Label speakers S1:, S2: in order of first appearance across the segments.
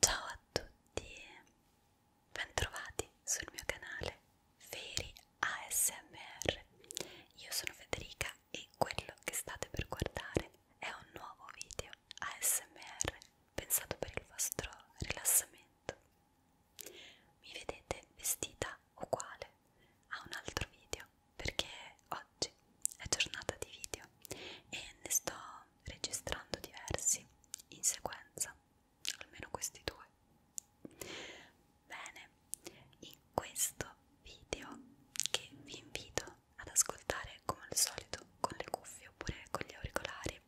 S1: Ciao a tutti e bentrovati sul mio canale Feri ASMR. Io sono Federica e quello che state per guardare è un nuovo video ASMR pensato per il vostro rilassamento. Mi vedete vestita uguale a un altro video perché ho oggi è giornata di video e ne sto registrando diversi in sequenza, almeno questi due. Bene, in questo video che vi invito ad ascoltare come al solito con le cuffie oppure con gli auricolari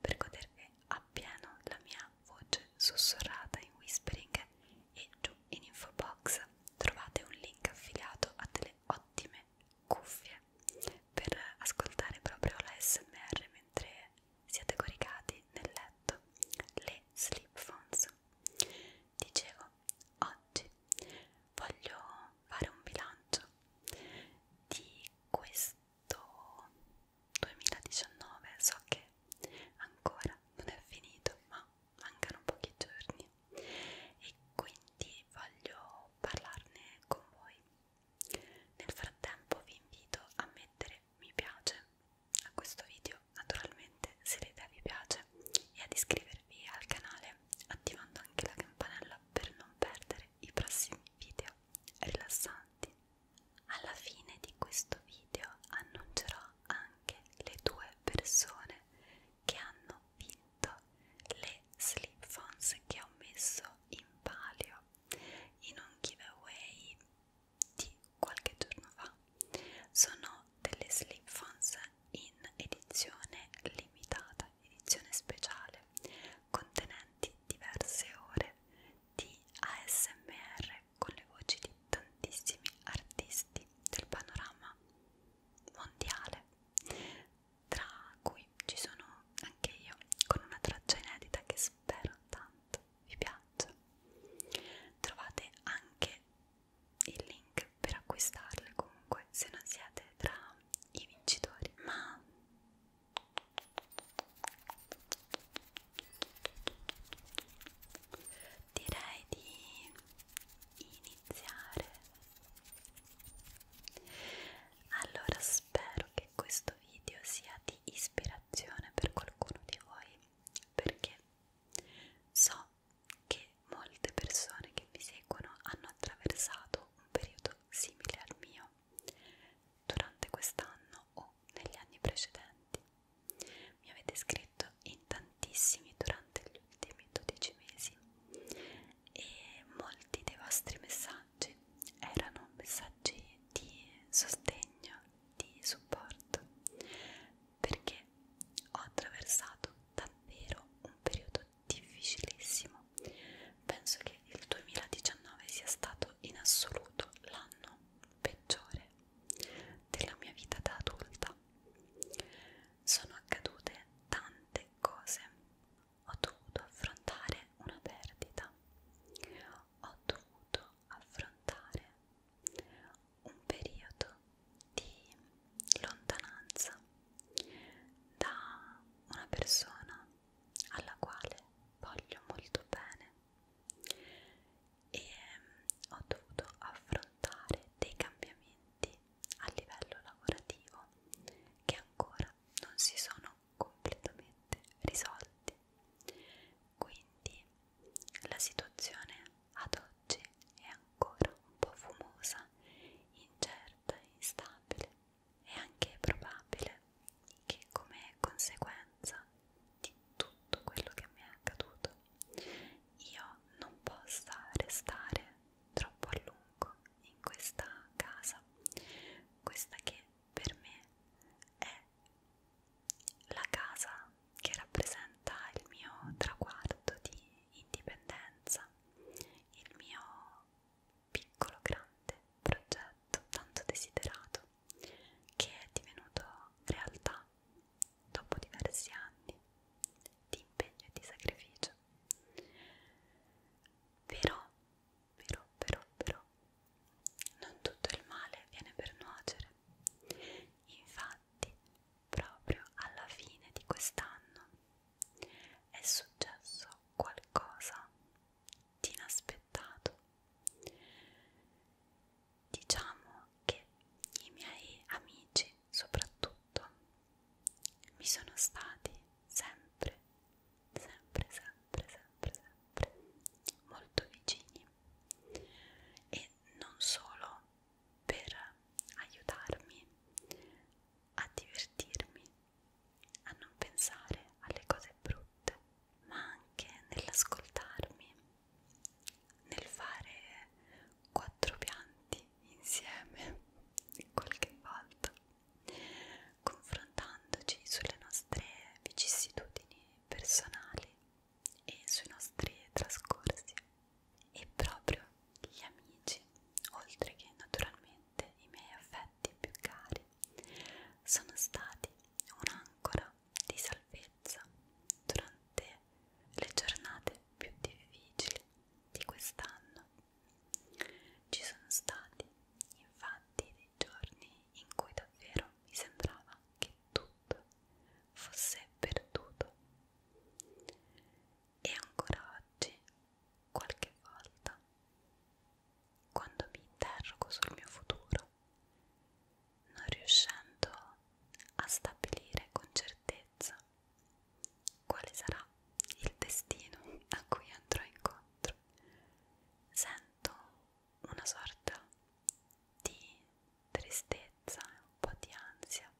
S1: per godervi appieno la mia voce sussurrata in whispering e giù in info box trovate un link affiliato a delle ottime cuffie per ascoltare proprio la SMR mentre siete coricati nel letto, le sleep phones. Dicevo, oggi voglio fare un bilancio di questo 2019, so che ancora non è finito, ma mancano pochi giorni e quindi voglio parlarne con voi. Nel frattempo vi invito a mettere mi piace a questo video, naturalmente se l'idea vi piace, e ad iscrivervi al canale attivando anche la campanella per non perdere i prossimi video rilassanti. Alla fine di questo video annuncerò anche le due persone che hanno vinto le slip phones che ho messo in palio in un giveaway di qualche giorno fa sono delle slip phones in edizione limitata edizione speciale contenenti diverse ore di ASMR con le voci di tantissimi artisti del panorama mondiale, tra cui ci sono anche io con una traccia inedita che spero tanto vi piaccia. Trovate anche il link per acquistarle comunque se non siete tra i vincitori, ma direi di iniziare allora spero che questo video sia di ispirazione per qualcuno di voi perché so che molte persone che mi seguono hanno attraversato un periodo simile al mio durante quest'anno o negli anni precedenti mi avete scritto in tantissimi durante durante gli ultimi 12 mesi e molti dei vostri messaggi erano messaggi di sostegno, di supporto, perché ho attraversato davvero un periodo difficilissimo. Penso che il 2019 sia stato in assoluto l'anno peggiore della mia vita da adulta sono accadute tante cose. Ho dovuto affrontare una perdita. Ho dovuto affrontare un periodo di lontananza da una persona alla quale voglio molto bene e ehm, ho dovuto affrontare dei cambiamenti talenti a livello lavorativo che ancora non si sono completamente risolti. Quindi la situazione ad oggi è ancora un po' fumosa, incerta, instabile e anche probabile che come conseguenza di tutto quello che mi è accaduto mondo io non possa restare troppo a lungo in questa casa questa che per me è la casa che rappresenta il mio traguardo di indipendenza il mio piccolo grande progetto tanto desiderato che è divenuto realtà dopo diversi anni di impegno e di sacrificio. Però, però, però, però, non tutto il male viene per nuocere. Infatti, proprio alla fine di quest'anno è successo qualcosa di inaspettato diciamo che i miei amici soprattutto mi sono stati sempre, sempre, sempre, sempre, sempre molto vicini e non solo per aiutarmi a divertirmi, a non pensare alle cose brutte, ma anche nell'ascoltarmi nel fare quattro pianti insieme qualche volta confrontandoci sulle nostre vicissitudini personali e sui nostri trascorsi e proprio gli amici oltre che naturalmente i miei affetti più cari sono stati un'ancora di salvezza durante le giornate più difficili di quest'anno. Ci sono stati infatti dei giorni in cui davvero mi sembrava che tutto fosse perduto e ancora oggi qualche volta quando mi interrogo sul mio futuro non riuscendo a stabilire con certezza quale sarà il destino a cui andrò incontro. Sento una sorta di tristezza e un po' di ansia,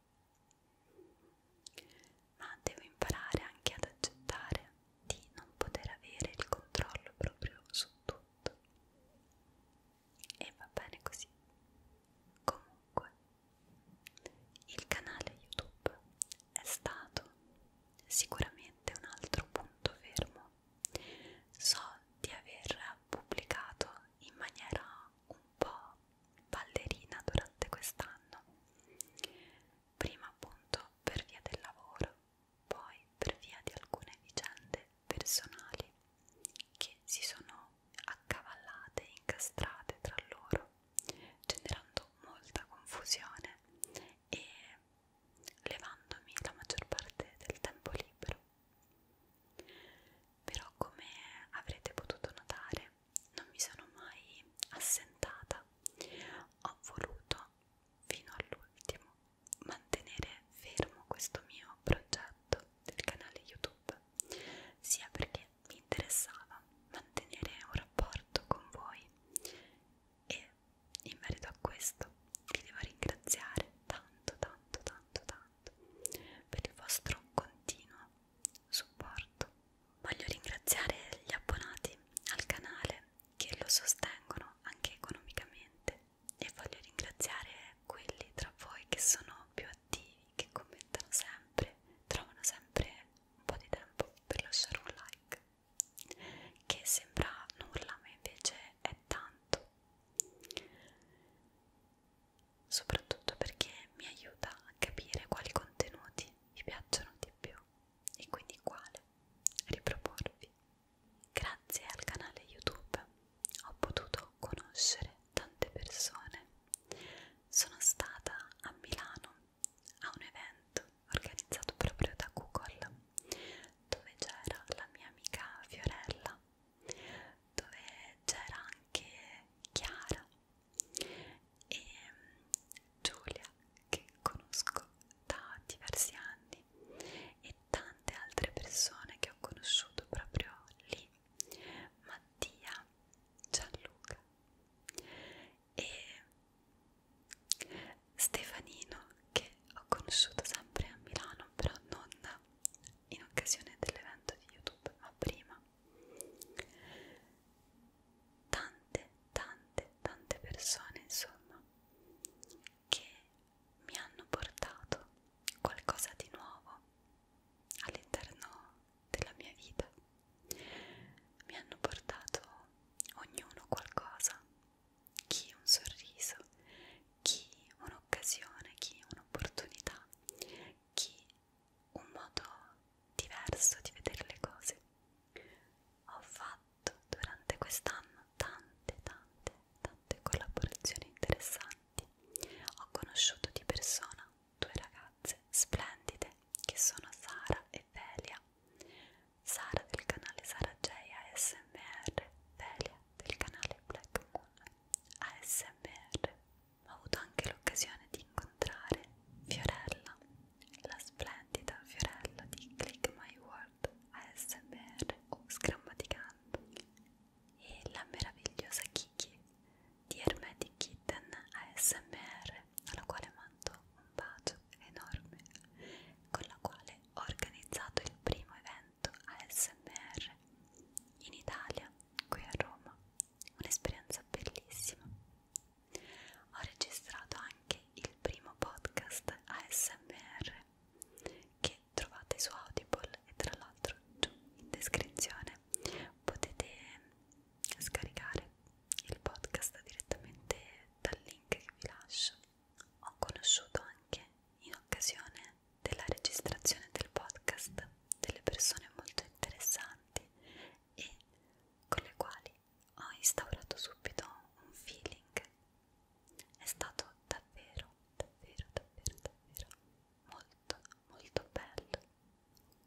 S1: ma devo imparare anche ad accettare di non poter avere il controllo proprio su tutto e va bene così. Comunque, il canale YouTube è stato sicuramente un altro punto fermo. So di aver pubblicato in maniera un po' ballerina durante quest'anno, prima appunto per via del lavoro, poi per via di alcune vicende personali che si sono accavallate e incastrate tra loro, generando molta confusione e levandomi la maggior parte del tempo libero. Però come avrete potuto notare non mi sono mai assentata, ho voluto fino all'ultimo mantenere fermo questo mio progetto del canale YouTube, sia perché mi interessava mantenere un rapporto con voi e in merito a questo vi devo ringraziare tanto tanto tanto tanto per il vostro continuo supporto. Voglio ringraziare gli abbonati al canale che lo sostengono anche economicamente e voglio ringraziare quelli tra voi che sono più attivi, che commentano sempre, trovano sempre un po' di tempo per lasciare un like, che sembra nulla ma invece è tanto, soprattutto perché mi aiuta a capire quali contenuti vi piacciono di più e quindi quale riproporvi Grazie al canale YouTube ho potuto conoscere tante persone. Sono stata a Milano a un evento organizzato proprio da Google dove c'era la mia amica Fiorella, dove c'era anche Chiara e mm, Giulia che conosco da diversi anni lì e tante altre persone che ho conosciuto proprio lì Mattia, Gianluca e Stefanino che ho conosciuto sempre a Milano però non in occasione dell'evento di YouTube ma prima tante tante tante persone insomma che mi hanno portato qualcosa di nuovo all'interno della mia vita. Mi hanno portato ognuno qualcosa, chi un sorriso, chi un'occasione, chi un'opportunità, chi un modo diverso di vedere le cose. Ho fatto fatto durante quest'anno tante, tante, tante collaborazioni interessanti. Ho conosciuto di persona due ragazze splendide che sono Sara e Velia. Sara del canale Sara J ASMR, Velia del canale Black Moon ASMR. Ho avuto anche l'occasione di incontrare Fiorella, la splendida Fiorella di Click My World Word, ASMR o Scrammaticando e la meravigliosa Kiki di Hermetic Kitten ASMR alla quale mando un bacio enorme con la quale ho organizzato il primo evento ASMR in Italia, qui a Roma un'esperienza bellissima ho registrato anche il primo podcast ASMR che trovate su Audible e tra l'altro giù in descrizione potete scaricare il podcast direttamente dal link che vi lascio. Ho conosciuto anche in occasione della registrazione del podcast delle persone molto interessanti e con le quali ho instaurato subito un feeling. È stato davvero, davvero, davvero, davvero molto, molto bello.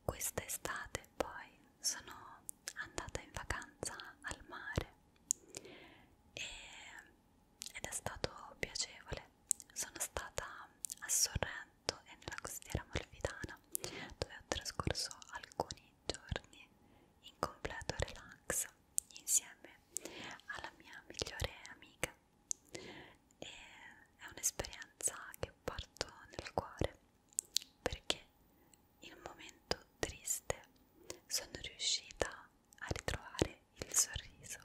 S1: Quest'estate poi sono andata in vacanza al mare e, ed è stato piacevole. Sono stata a Sorrento e nella costiera malfitana dove ho trascorso alcuni giorni in completo relax insieme alla mia migliore amica e è un'esperienza che porto nel cuore perché in un momento triste sono riuscita a ritrovare il sorriso.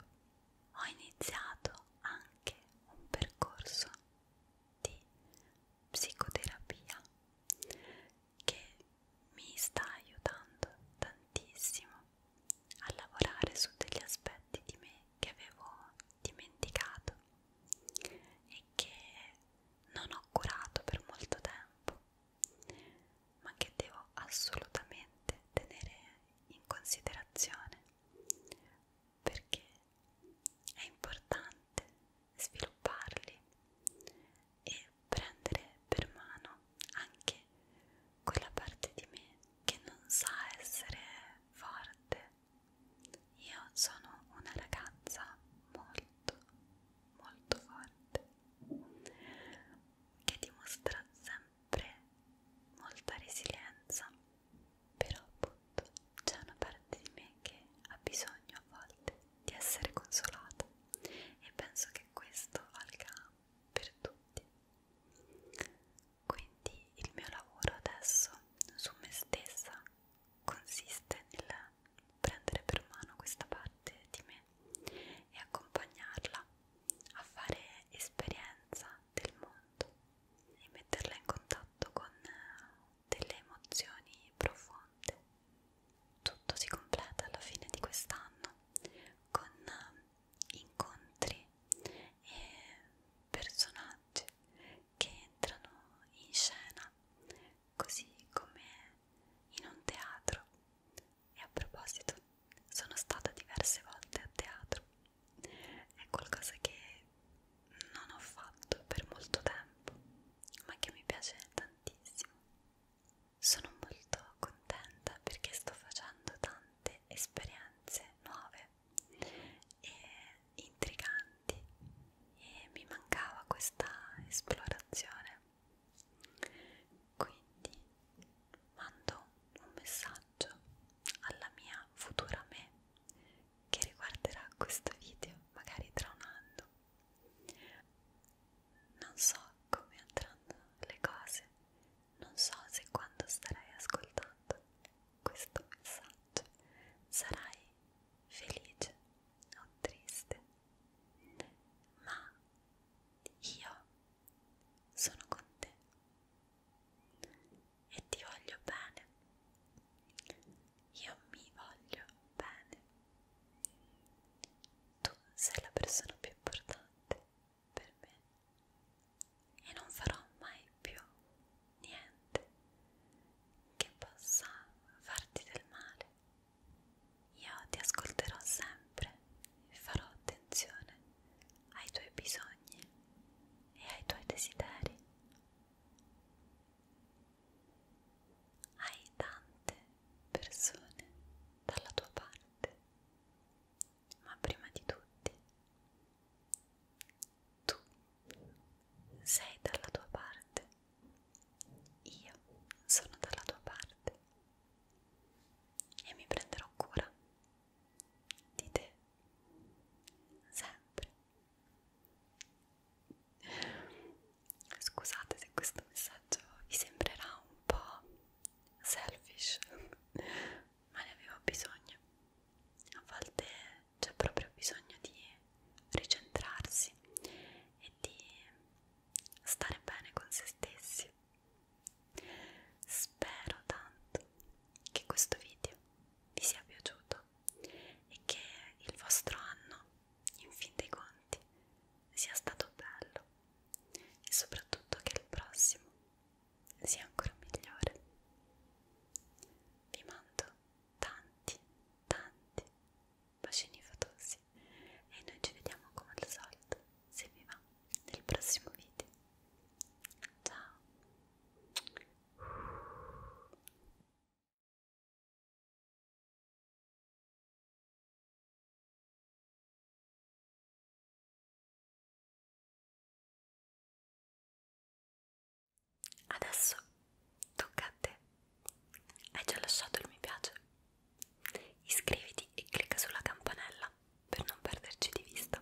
S1: Ho iniziato anche un percorso di psicoterapia che mi sta aiutando tantissimo a lavorare su degli aspetti di me che avevo dimenticato e che non ho curato per molto tempo, ma che devo assolutamente tenere in considerazione perché è importante svilupparli e prendere per mano anche quella parte di me che non sa essere forte. Io sono una ragazza molto, molto forte che dimostra sempre molta resilienza, però appunto c'è una parte di me che ha bisogno a volte di essere consolata e penso che questo valga per tutti. Quindi il mio lavoro adesso su me stessa consiste nel prendere per mano questa parte di me e accompagnarla a fare esperienza del mondo e metterla in contatto con delle emozioni profonde tutto si completa alla fine di quest'anno con eh, incontri e personaggi che entrano in scena così come in un teatro e a proposito sono stata diverse volte a teatro è qualcosa che non ho fatto per molto tempo, ma che mi piace tantissimo. Sono molto contenta perché sto facendo tante esperienze nuove e intriganti e mi mancava questa esplorazione. Quindi mando un messaggio alla mia futura me che riguarderà questo video magari tra un anno non so come andranno le cose, non so se quando starai ascoltando questo messaggio sarai felice o triste, ma io sono con te e ti voglio bene io mi voglio bene. Tu sei la persona più importante per me e non farò mai più niente che possa farti del male. Io ti ascolterò sempre e farò attenzione ai tuoi bisogni e ai tuoi desideri hai tante persone dalla tua parte, ma prima di tutti tu sei dalla tua parte, io sono dalla tua parte e mi prenderò cura di te sempre Scusate se questo messaggio vi sembrerà un po' selfish, ma ne avevo bisogno. A volte c'è proprio bisogno di ricentrarsi e di stare bene con se stessi. Spero tanto che questo video vi sia piaciuto e che il vostro anno, in fin dei conti, sia stato bello e soprattutto che il prossimo sia ancora migliore. Vi mando tanti, tanti bacini fatosi e noi ci vediamo come al solito, se vi va, nel prossimo video. Ciao! Adesso tocca a te. Hai già lasciato il mi piace? Iscriviti e clicca sulla campanella per non perderci di vista